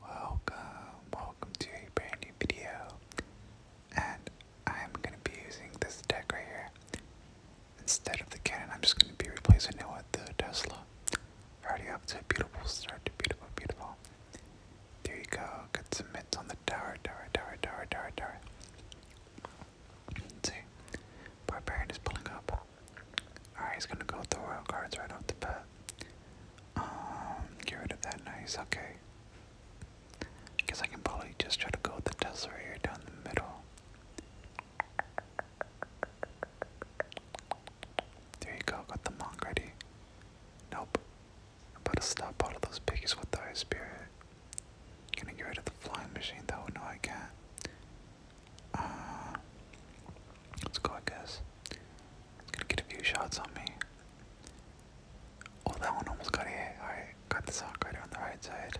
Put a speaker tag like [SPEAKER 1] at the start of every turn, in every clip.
[SPEAKER 1] Welcome, welcome to a brand new video. And I'm gonna be using this deck right here. Instead of the cannon, I'm just gonna be replacing it with the Tesla. already up to a beautiful start, beautiful, beautiful. There you go, get some mitts on the tower, tower, tower, tower, tower, tower. Let's see. is pulling up. Alright, he's gonna go with the royal cards right off the bat. Um, get rid of that nice, okay. guess I can probably just try to go the Tesla down the middle. There you go, got the monk ready. Nope. i stop all those piggies with high spirit. Can I get rid of the flying machine though? No, I can't. Uh, Let's go, I gonna get a few shots on me. Oh, that one almost got hit. Alright, got the sock right on the right side.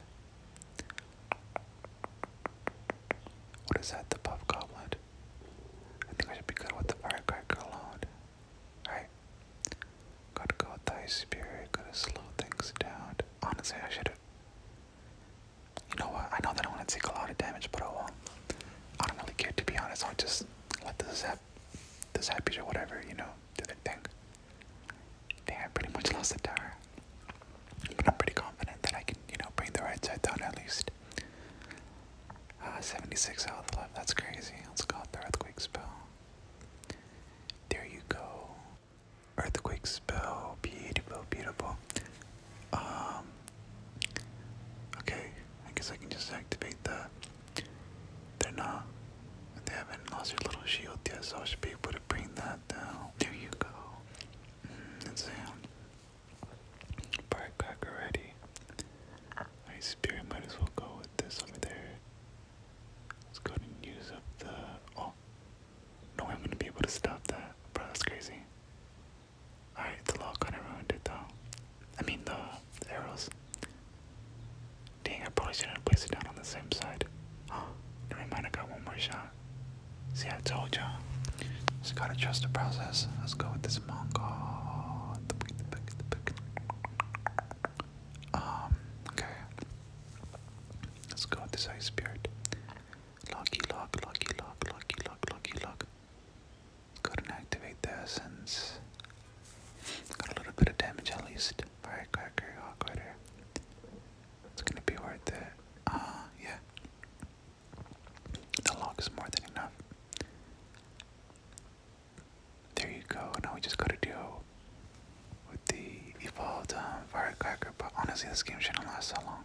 [SPEAKER 1] What is that? The puff goblet? I think I should be good with the firecracker alone. Alright. Gotta go with the spirit. Gotta slow things down. Honestly, I should You know what? I know that I want to take a lot of damage, but I won't. I don't really care to be honest. I'll just let this happen, this zappies or whatever, you know, do the thing. Damn, I pretty much lost the tower. But I'm pretty confident that I can, you know, bring the right side down at least. Uh, 76 health eleven. that's crazy. Let's go the earthquake spell. There you go. Earthquake spell, beautiful, beautiful. Um, okay, I guess I can just activate the. They're not. They haven't lost their little shield yet, so I should be able to bring that down. There you go. Mm, and Firecracker ready. My spirit might as well go with this over there. Let's go and use up the. Oh. No I'm gonna be able to stop that. Bro, that's crazy. Alright, the law kinda ruined it though. I mean the, arrows. Dang, I probably shouldn't have placed it down on the same side. Oh, never mind, I got one more shot. See, I told ya. Just gotta trust the process. Let's go with this Mongol. Um, okay. Let's go with this ice spirit. Lucky, luck, lucky, luck, lucky, luck, lucky, couldn't activate that since got a little bit of damage at least. Firecracker, hot quarter. It's gonna be worth it. Uh yeah. The log is more than enough. There you go. Now we just gotta do with the evolved um, firecracker. But honestly, this game shouldn't last so long.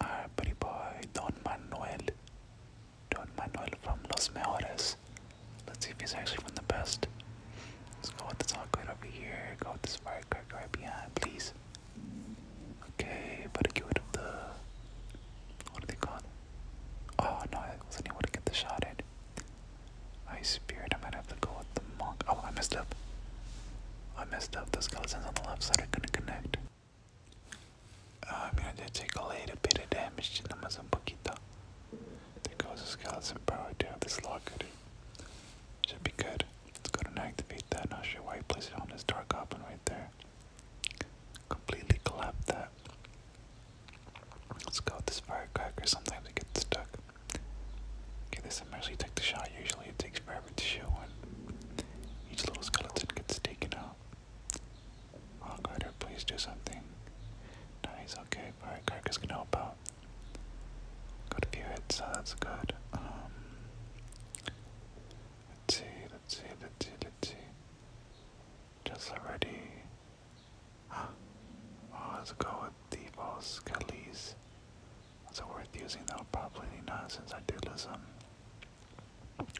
[SPEAKER 1] Our ah, pretty boy Don Manuel. Don Manuel from Los Mejores. Let's see if he's actually from the best. Let's go with this awkward over here. Go with this firecracker right behind, please. Okay, better get rid of the. What are they called? Oh no, I wasn't able to get the shot in. I spirit. I might have to go with the monk. Oh, I messed up. I messed up. Those skeletons on the left side are gonna connect. Uh, I mean, I did take a little bit of damage to them as un poquito. There goes the skeleton power. I have this locket. Should be good. Let's go and activate that. Not sure why he placed it on this dark goblin right there. Completely collapsed that. Let's go with this firecracker. Sometimes we get stuck. Okay, this will mostly take the shot. Usually it takes forever to show one. Each little skeleton gets taken out. Oh, Carter, please do something. Nice, okay. Alright, Carcass can help out. Got a few hits, so that's good. Um, let's see, let's see, let's see, let's see. Just already. Oh, let's go with the false skellies it worth using though? Probably not since I did lose them.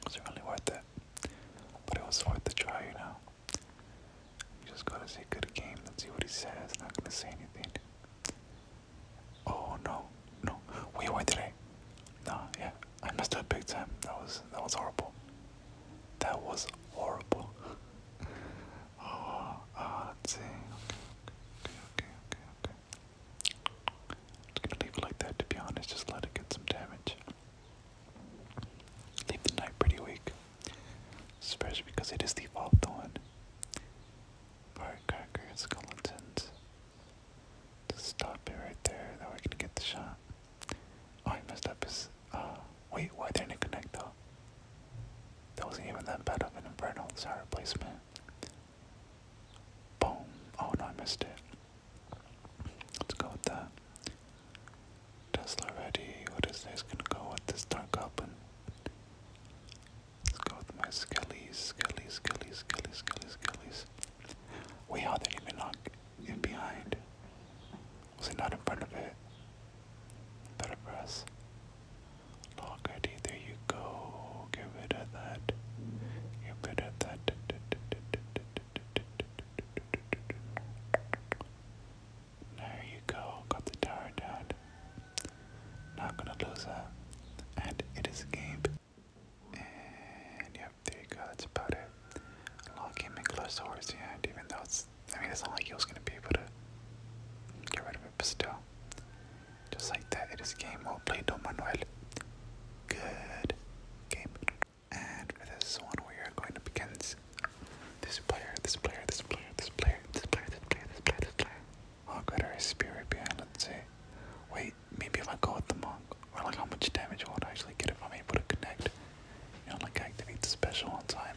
[SPEAKER 1] Was it really worth it? But it was worth the try, you know. You just gotta say good game Let's see what he says. Not gonna say anything. Oh no, no. Wait, why did I? No, yeah. I messed up big time. That was that was horrible. That was horrible. Oh, oh, let's see. Okay, okay, okay, okay, okay. Just gonna leave it like that, to be honest. Just let it get some damage. Leave the knight pretty weak, especially because it is the evolved one. Firecracker skeletons. Just stop it right there. That way I can get the shot. Oh, he messed up his. Uh, wait, why didn't it connect though? That wasn't even that bad of an Inferno Desire replacement. Boom. Oh no, I missed it. Let's go with that. Tesla ready. What is this? Gonna go with this Dark Open. Let's go with my Skellies, Skellies, Skellies, Skellies, Skellies, Skellies. Wait, how did even knock in behind? Was it not in front of it? Better for us. Lockerty, there you go. Get rid of that. Get rid of that. There you go. Got the tower down. Not gonna lose that. And it is a game. And yep, there you go. That's about it. Lock him in close horse hand, even though it's. I mean, it's not like he was gonna be able to get rid of it, but still. Just like that, it is game. Well played, Don Manuel. Good game. And for this one, we are going up against this player, this player, this player, this player, this player, this player, this player, this player. Monk oh, at our spirit behind, let's see. Wait, maybe if I go with the monk, or like how much damage I would actually get if I'm able to connect. You know, like activate the special on time.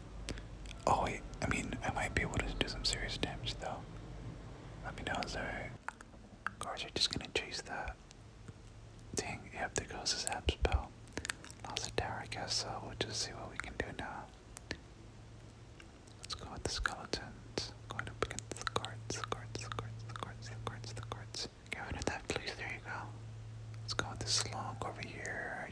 [SPEAKER 1] Oh wait, I mean, I might be able to do some serious damage though. Let me know, it's alright. Guards are just gonna chase that. Dang, yep, there goes his app spell. Lost a tower, I guess, so we'll just see what we can do now. Let's go with the skeletons. Going up against the guards, the guards, the guards, the guards, the guards, the guards. Get rid of that, please, there you go. Let's go with the slug over here. I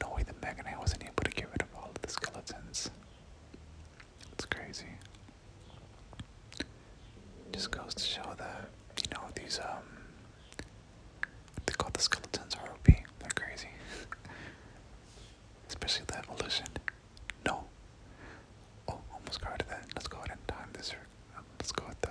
[SPEAKER 1] no way the Mega wasn't able to get rid of all the skeletons. It's crazy. Just goes to show that, you know, these, um, they call the skeletons are OP. They're crazy. Especially the evolution. No. Oh, almost guarded that. Let's go ahead and time this. Let's go with the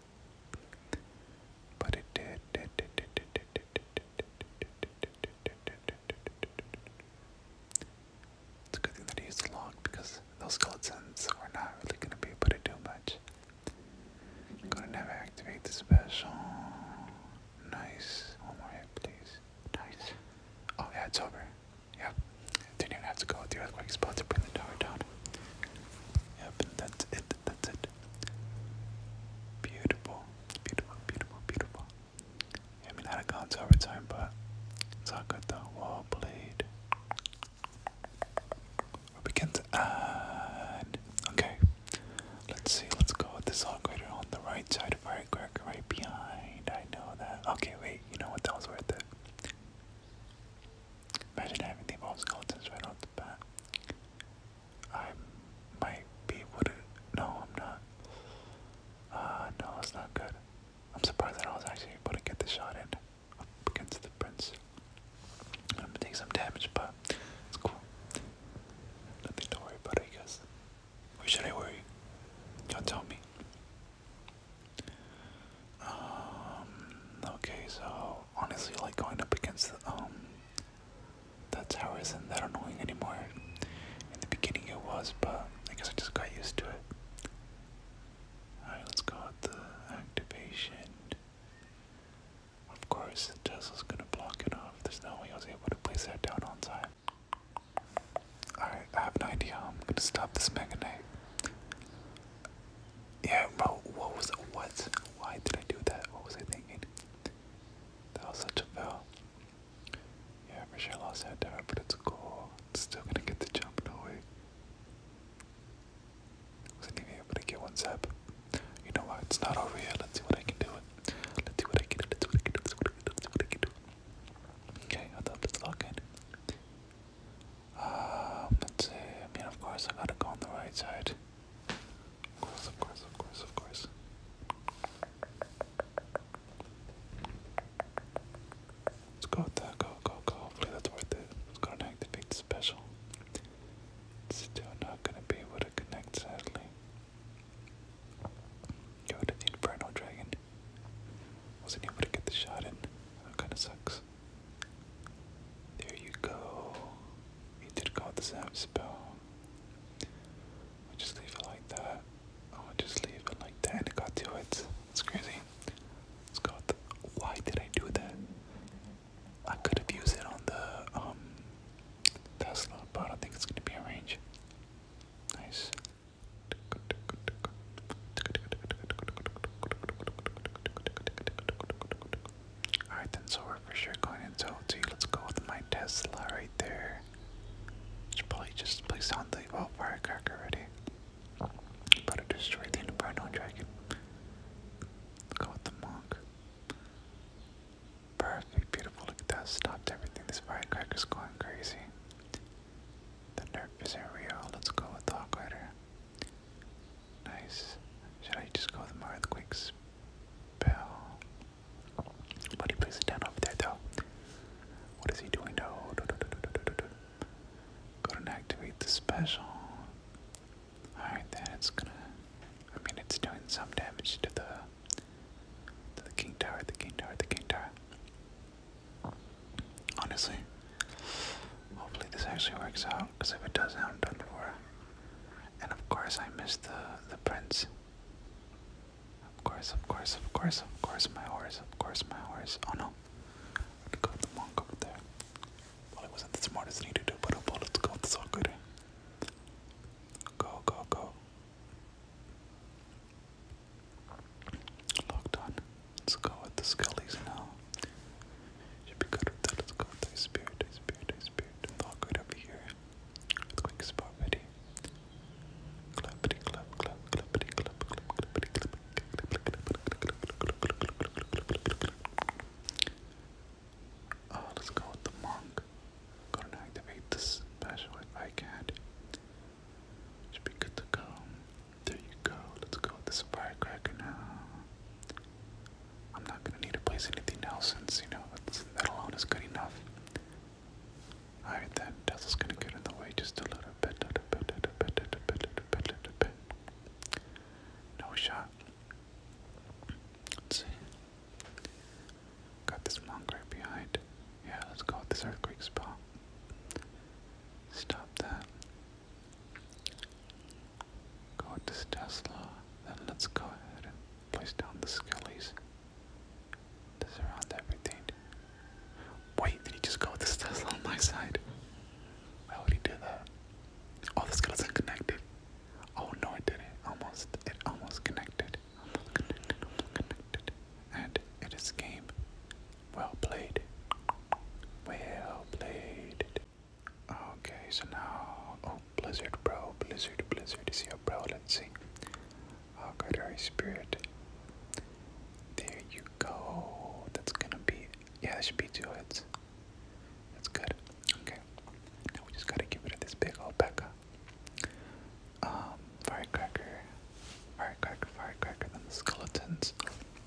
[SPEAKER 1] it. But it did. It's a good thing that he used the log because those skeletons were not really going to be able to do much. I'm going to never activate the special. Nice. One more hit, please. Nice. Oh, yeah, it's over. Yep. Didn't have to go with the earthquake spell to bring the tower down. Yep, that's it, that's it. Beautiful, beautiful, beautiful, beautiful. I mean, I had a console over time, but it's all good though. Well played. We begin to add. Okay, let's see. Let's go with this upgrader on the right side of firecracker, right behind. I know that. Okay, wait. You know what? That was worth it. Imagine having the evolved skeletons right off the bat. I might be would no, I'm not. Uh no, that's not good. I'm surprised that I was actually able to get the shot in up against the prince. I'm gonna take some damage, but it's cool. Nothing to worry about, I guess. Or should I worry? Y'all tell me. Um, okay, so honestly, like going up against the, um, the tower isn't that annoying anymore. In the beginning, it was, but I guess I just got used to it. Alright, let's go with the activation. Of course, the Tesla's gonna block it off. There's no way I was able to place that down on time. Alright, I have an idea. I'm gonna stop this Mega Knight. Yeah, bro. What was what? Why did I do that? What was I thinking? That was such a fail. Yeah, Michelle sure lost that dive, but it's cool. It's still gonna get the jump, no way. Wasn't even able to get one zap. You know what? It's not over yet. Let's see what I can do. Let's see what I can do. Let's see what I can do. Let's see what I can do. Let's Okay, I thought this lock in. Um, let's see. I mean, of course, I gotta go on the right side. Of course, of course, of course, of course. Let's go with that. Go, go, go. Hopefully, that's worth it. Let's go and activate the special. still not gonna be able to connect, sadly. Go to the Inferno Dragon. Wasn't able to get the shot in. That kinda sucks. There you go. You did call this out spell. just leave it like that. i just leave it like that and it got to it. It's crazy. It's got why did I do that? I could have used it on the um Tesla, but I think it's gonna be a range. Nice. Alright then, so we're for sure going into Let's go with my Tesla right there. Should probably just place on the well oh, firecracker already. But to destroy the inferno dragon. go with the monk. Perfect, beautiful. Look that. Stopped everything. This firecracker's going crazy. The nerf isn't real. Let's go with Dog Rider. Nice. Should I just go with my earthquakes spell? Buddy plays it down over there though. What is he doing? No. Do, do, do, do, do, do, do. Go and activate the special. Alright then it's gonna I mean it's doing some damage to the to the King Tower, the King Tower, the King Tower. Honestly. Hopefully this actually works out, because if it doesn't, I'm done for. And of course I missed the the prince. Of course, of course, of course, of course, my horse, of course, my horse. Oh no. I could go with the monk over there. Well, it wasn't the smartest thing to do, but oh, let's go, it's all good. Go, go, go. Locked on. Let's go with the Scullies now. Should be good with that. Let's go with the Spirit, Ice Spirit, Ice Spirit. All good over here. Earthquake spot ready. Clappity clap, clap, clappity clap, clap, clappity clap. Uh, let's go with the monk. Gonna activate this special I can. Should be good to go. There you go. Let's go with this firecracker now. I'm not gonna need to place anything else since you know that alone is good enough. Alright then, Tesla's gonna get in the way just a little bit. No shot. Let's see. Got this monk right behind. Yeah, let's go with this earthquake spot. Stop that. Go with this Tesla. Then let's go ahead and place down the skellies. surround everything. Wait, did he just go with this Tesla on my side? Why would he do that? Oh, the skeleton connected. Oh no, it didn't. Almost, it almost connected. Almost connected, almost connected. And it is game. Well played. Well played. Okay, so now, oh, Blizzard, bro, Blizzard, Blizzard is your bro. Let's see. Oh, good, Holy Spirit. There you go. That's gonna be, yeah, that should be two hits. That's good. Okay. Now we just gotta get rid of this big old Becca. Um, firecracker, firecracker, firecracker, then the skeletons.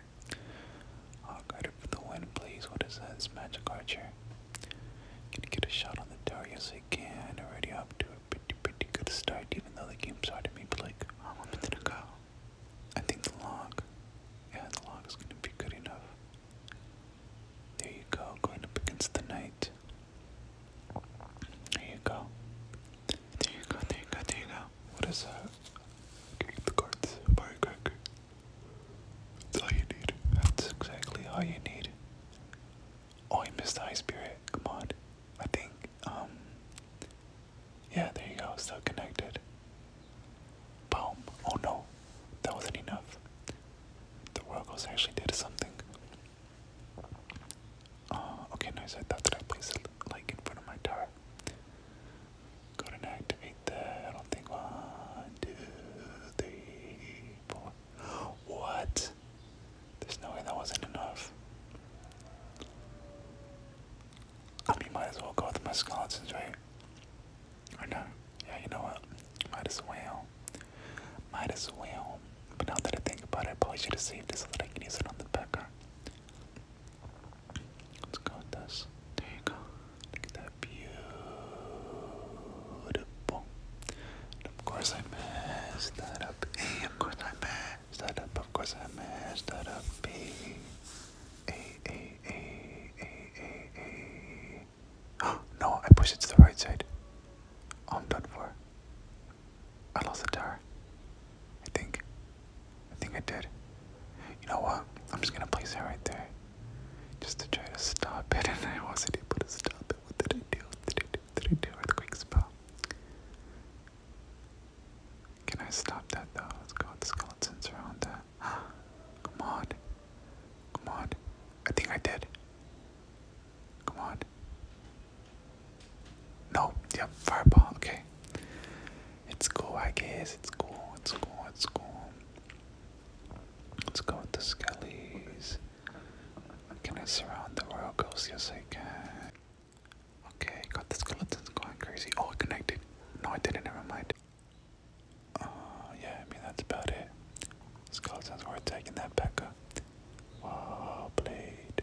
[SPEAKER 1] Archer. Hawk Rider for the win, please. What is this, Magic Archer. Can you get a shot on the tower? Yes, I can. Already up to a pretty, pretty good start, even though the game started But like oh, I'm up did the go? I think the log. Yeah, the log is going to be good enough. There you go, going up against the knight. There you go. There you go, What is that? Keep the cards, firecracker. That's all you need. That's exactly all you need. Oh, I missed the high spirit. Come on. I think, um, yeah, there you go. Still connected. Boom. Oh no, that wasn't enough. The Royal Ghost actually did something. Uh, okay, nice. I thought that I placed it like in front of my tower. Go ahead and activate that. I don't think one, two, three, four. What? There's no way that wasn't enough. I might as well go with my skeletons, right? Or no? Yeah, you know what? Might as well. Might as well. But now that I think about it, probably should have saved it so that I can use it on the backer. Let's go with this. There you go. Look at that beautiful. And of course I messed that up. A. Of course I messed that up. Of course I messed that up. B. A. A. A. A. A. A. Oh, no, I pushed it to the right side. Oh, I'm done for. I Alcazar. I think. I think I did. You know what? I'm just gonna place it right there. Just to try to stop it, and I wasn't able to stop it. What did I do? did I do? What did I do? Earthquake spell. Can I stop that though? Let's go with the skeletons around that. Come on. Come on. I think I did. Come on. No, yep, fireball, okay. It's cool, I guess. It's cool, it's cool, it's cool. Let's go with the skellies. Can I surround the royal Ghosts? Yes, I can. Okay, got the skeletons going crazy. Oh, it connected. No, I didn't, never mind. Uh, yeah, I mean, that's about it. Skeletons worth taking that Pekka. Wow, blade.